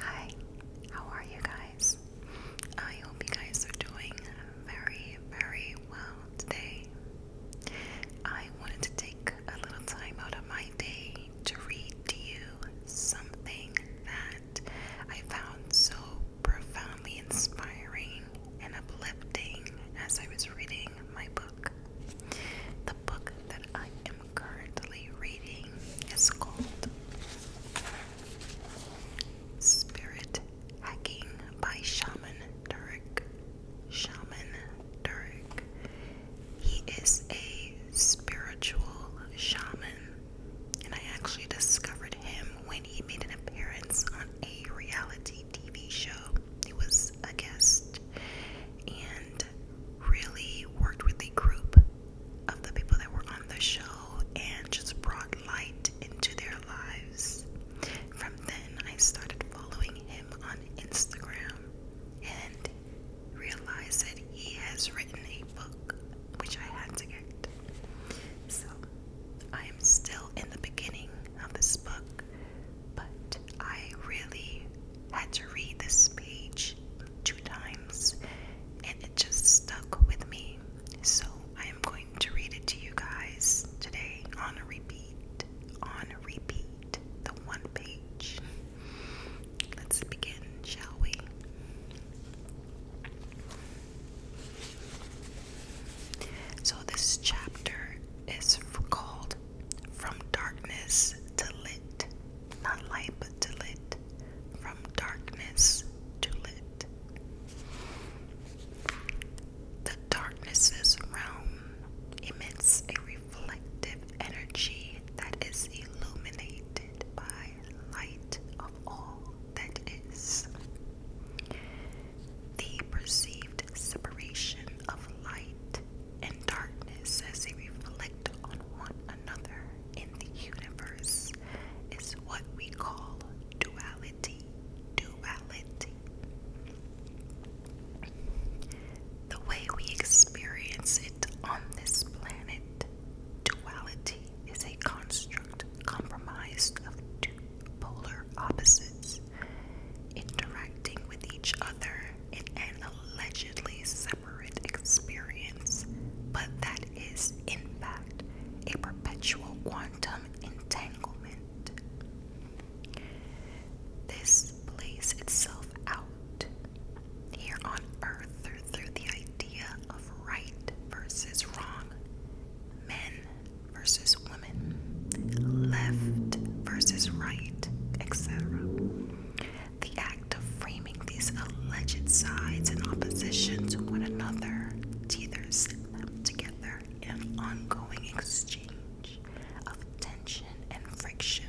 Hi, how are you guys? I hope you guys are doing very, very well today. I wanted to take a little time out of my day to read to you something that I found so profoundly inspiring and uplifting as I was reading my book. The book that I am currently reading is called Spirit Hacking by Shaman Durek. Shaman Durek. He is a spiritual shaman and I actually discovered him when he made an appearance on a reality TV show. He was a guest and really worked with a group of the people that were on the show and just brought light into their lives. From then, I started following him on Instagram and realized that he has written a book, which I had to get. So, I am still in the beginning of this book, but I really had to read this page two times and it just stuck with me. So, I am going to read it to you guys today on a repeat. On a repeat, the one page. Let's begin, shall we? So, this chapter is called From Darkness to Lit. Not light, but to lit. From darkness to lit. The darkness's realm emits a reflective energy that is illuminated by light of all that is. The perceived separation of light and darkness as they reflect on one another in the universe is what we call duality. Duality. The way we experience it on this planet Duality is a construct compromised of two polar opposites interacting with each other in an allegedly separate experience, but that is, in fact, a perpetual quantum entanglement. This plays itself out here on Earth through the idea of right versus wrong, men versus women, left versus right, etc. The act of framing these alleged sides in opposition to one another teeters them together in an ongoing exchange of tension and friction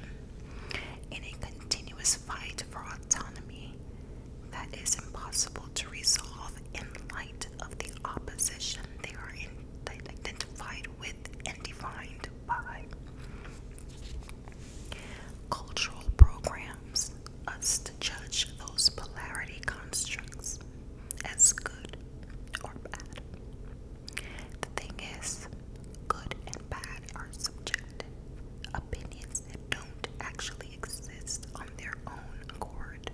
in a continuous fight for autonomy that is impossible to resolve in light of the opposition they are identified with and defined by. Cultural programs us to judge those polarity constructs as good or bad. The thing is, good and bad are subjective opinions that don't actually exist on their own accord.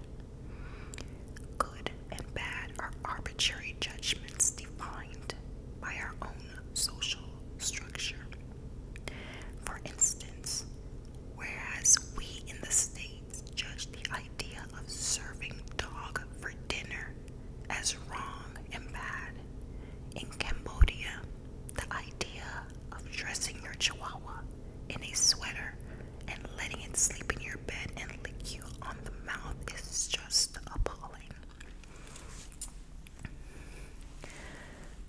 Good and bad are arbitrary judgments defined by our own social structure. For instance, whereas we in the States judge the idea of serving dog for dinner as wrong and bad, in Cambodia, the idea of dressing your chihuahua in a sweater and letting it sleep in your bed and lick you on the mouth is just appalling.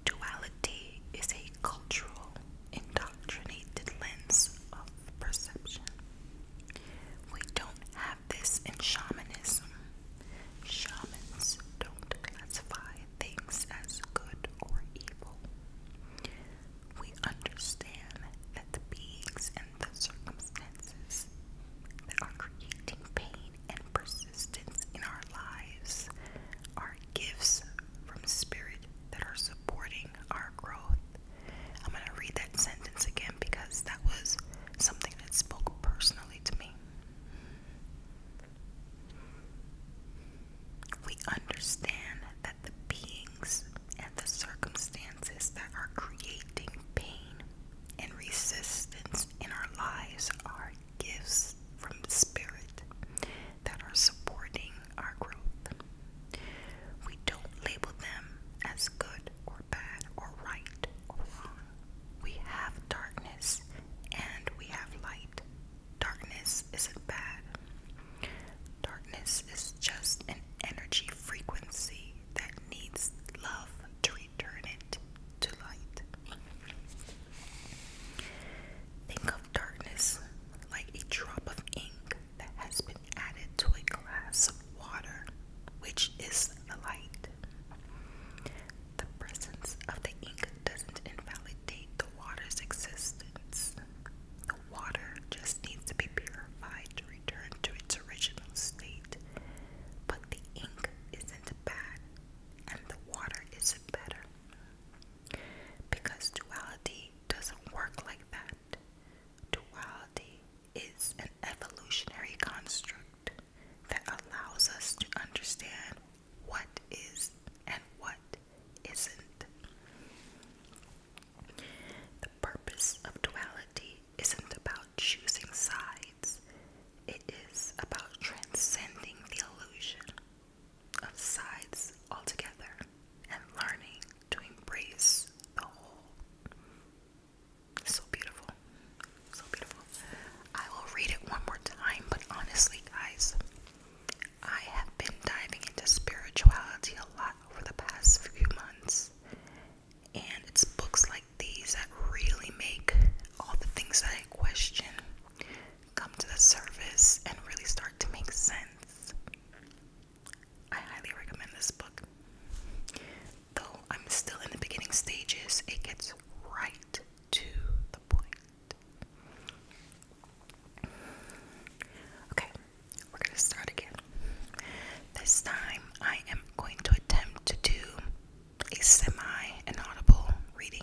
Duality is a cultural, indoctrinated lens of perception. We don't have this in shamanism. Shamans don't classify things as good or evil. We understand that the beings and the circumstances that are creating pain and persistence in our lives are gifts from Spirit that are supporting our growth. I'm going to read that sentence again because that was something that spoke personally to me. We understand that the beings and the circumstances that are creating pain and resistance in our lives are gifts from the Spirit that are supporting our growth. We don't label them as good or bad or right or wrong we have darkness and we have light. Darkness isn't bad. Darkness is just an energy frequency that needs love to return it to light. Think of darkness like a drop of ink that has been added to a glass of water, which is the light. The presence of the ink doesn't invalidate the water's existence. The water just needs to be purified to return to its original state. But the ink isn't bad, and the water isn't better. Because duality doesn't work like that. Duality is an evolutionary construct that allows us to understand what is and what isn't. The purpose of duality isn't about choosing sides, it is about transcending the illusion of sides altogether and learning to embrace the whole. So beautiful so beautiful. I will read it one more time, but honestly, guys, I have been diving into spirituality a lot over the past few months, and it's books like these that really make all the things that I question come to the surface and really start to make sense. I highly recommend this book. Though I'm still in the beginning stages, it gets right to the point. Okay, we're gonna start again. This time I am going to attempt to do a semi inaudible reading.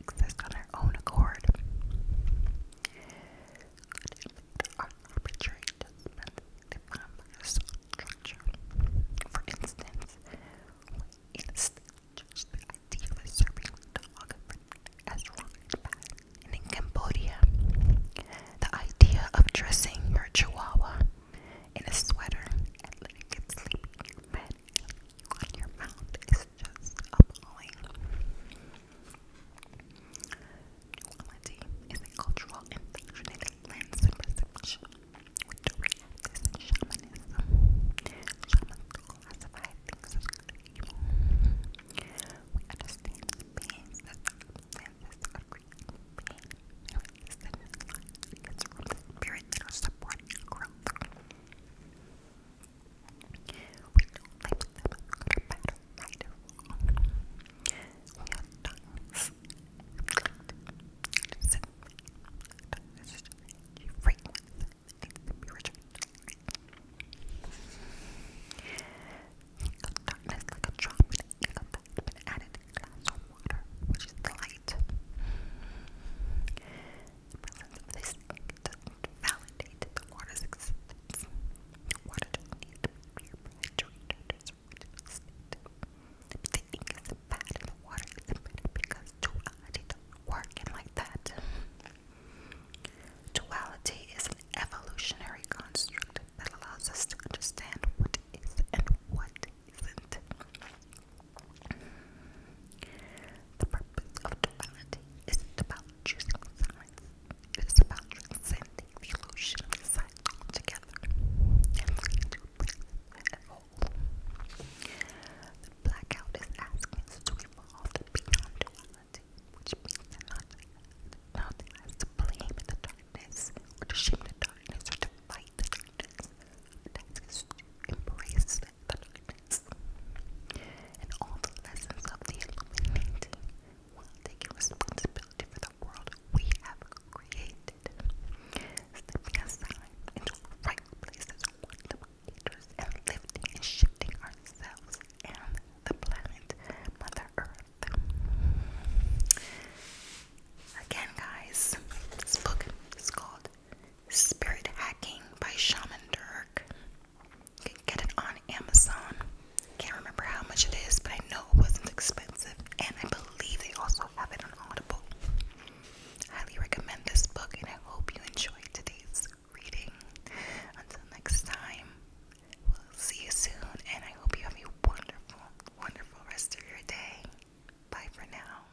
exist on their own accord. Are arbitrary judgments define structure. For instance, in a the idea of serving dog as wrong and bad. And in Cambodia, the idea of dressing your chihuahua in a sweater and letting it sleep in your bed your mouth is just appalling. Duality is a cultural and functioning lens and perception with the reactors and shamanism. Shamans classify things as good and evil. We understand the that circumstances are the spirit that we don't like them good or bad or right or wrong. We are times so, free and spiritual. Darkness like a drop in a that's been added to a glass of water, which is the light. The presence of this validate the water's existence. Water doesn't need to be rehydrated to its original The ink and the water because duality doesn't work and like that. Duality is an evolutionary construct that allows us to understand what is and what isn't. The purpose of duality isn't about choosing sides. It is about transcending the illusion of and looking to a whole. The blackout is asking us to evolve beyond duality, which means that nothing, nothing has to blame the darkness or to the darkness or to fight the darkness. That is to embrace the darkness and all the lessons of the Illuminati while taking responsibility for the world we have created. Stepping aside into our right places, quantum leaders, and lifting and shifting ourselves and the planet, Mother Earth. Again, guys, this book is called Spirit Hacking by Shaman Dirk. get it on Amazon. Can't remember how much it is, but I know it wasn't expensive. And I believe they also have it on Audible. Highly recommend this book, and I hope you enjoyed today's reading. Until next time, we'll see you soon, and I hope you have a wonderful, wonderful rest of your day. Bye for now.